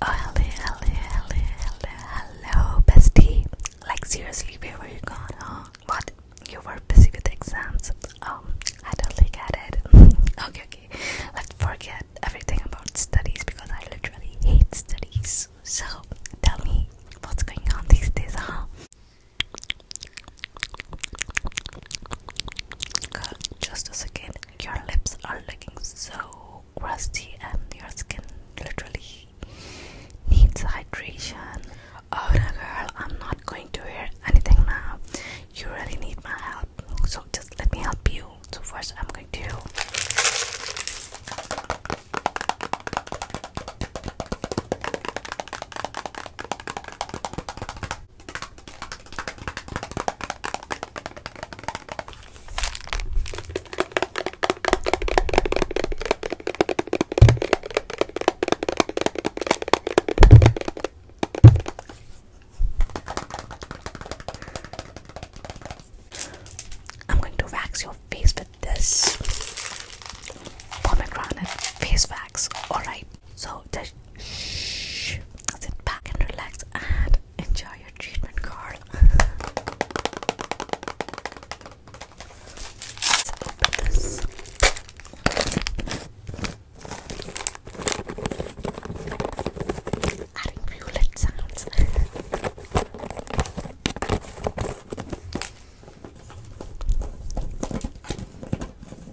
Oh, hello, hello, hello, hello, hello, bestie. Like, seriously, where were you going? huh? What? You were busy with exams? Um, I totally get it. okay, okay. Let's forget everything about studies because I literally hate studies. So, tell me what's going on these days, huh? Just a second, your lips are looking so crusty, and your skin literally needs hydration. Oh, no, girl, I'm not going to wear anything now. You really need my help, so just let me help you. So, first, I'm going to I'm going to wax your face with this pomegranate face wax, alright? So just shh, sit back and relax and enjoy your treatment, girl. Adding violet sounds.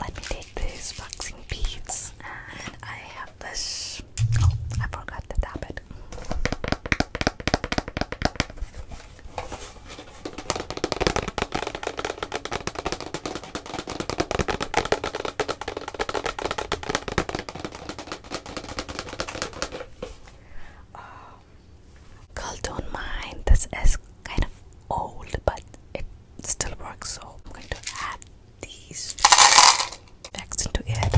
Let me take these boxing beads, and I have this. Oh, I forgot to tap it. Um, girl, don't mind. This is kind of old, but it still works. So I'm going to add these facts into it.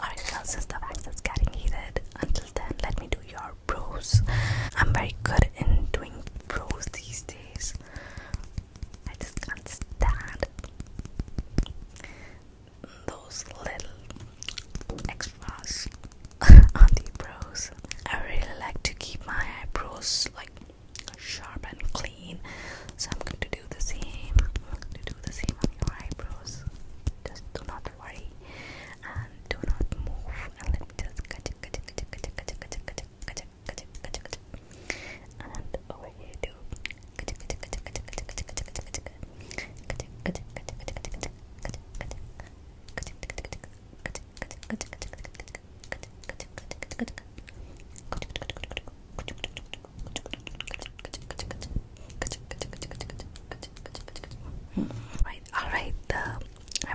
Alright, well, since the wax is getting heated, until then, let me do your brows. I'm very good in doing brows these days. I just can't stand those little extras on the brows. I really like to keep my eyebrows like sharp and clean, so I'm going to do the same. I'm going to do the same on your eyebrows. Just do not worry and do not move. And let me just cut it, cut it, cut it, cut it, cut it, cut it, and over here too. Right, all right. Uh, I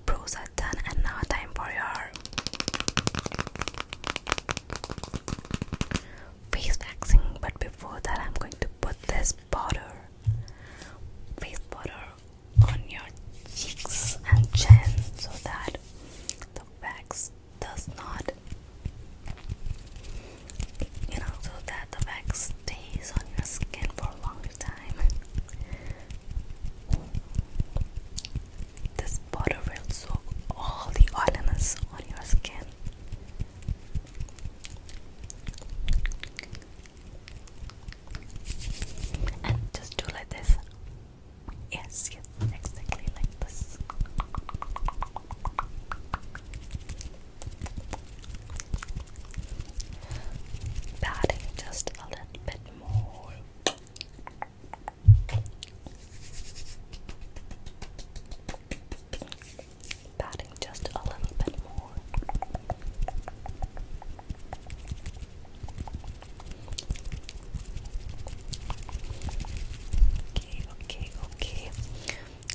pros are done and now time for your face waxing but before that I'm going to put this butter, face powder on your cheeks and chin so that the wax does not you know so that the wax stays on your skin for a long time this butter will soak all the oiliness on your skin. And just do like this. Yes, yes, exactly like this. Patting just a little bit more. Patting just a little bit more. Okay, okay, okay.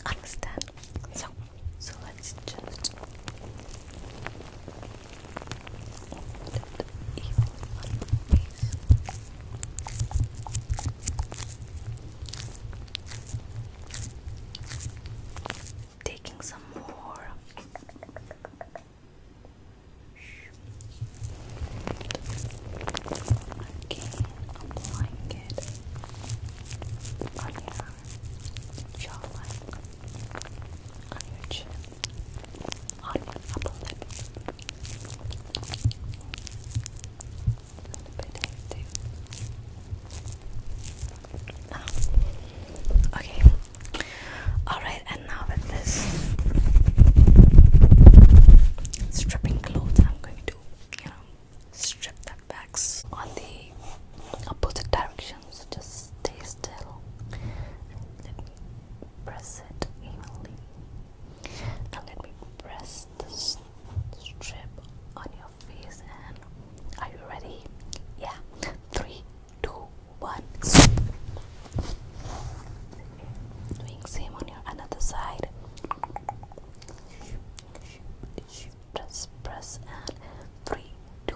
Understand. So, so let's just that evil Taking some more. Okay, applying it on your jawline, on your chin okay. Alright, and now with this stripping clothes, I'm going to, you know, strip that back on the opposite direction so just stay still and let me press it evenly. Now let me press this strip on your face and are you ready? Yeah. Three, two, one. Doing the same on your other side. Press, press, and three, two,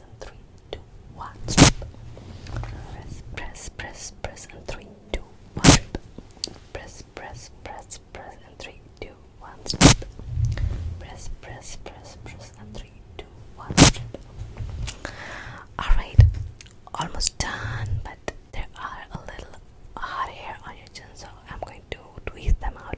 and three, two, one. Strip. Press, press, press, press, and three, two, one. Strip. Press, press, press, press, and three, two, one. Strip. Press, press, press, press, and three, two, one. Strip. All right, almost done, but there are a little hot hair on your chin, so I'm going to twist them out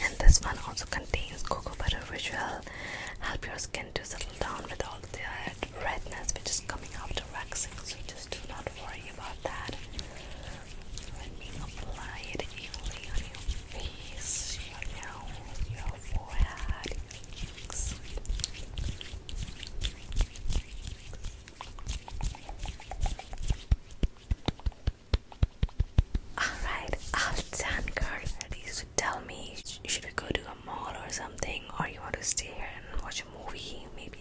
and this one also contains cocoa butter, which will help your skin to settle down with all the redness which is coming after waxing. So just do not worry about that. Let me apply it evenly on your face, your nose, your forehead, Alright, all done, tell me, should we go to a mall or something, or you want to stay here and watch a movie? Maybe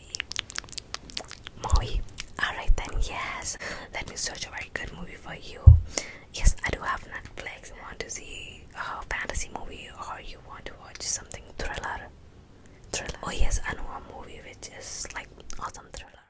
movie. Alright then, yes. Let me search a very good movie for you. Yes, I do have Netflix. You want to see a fantasy movie, or you want to watch something thriller? Thriller. Oh yes, I know a movie which is like awesome thriller.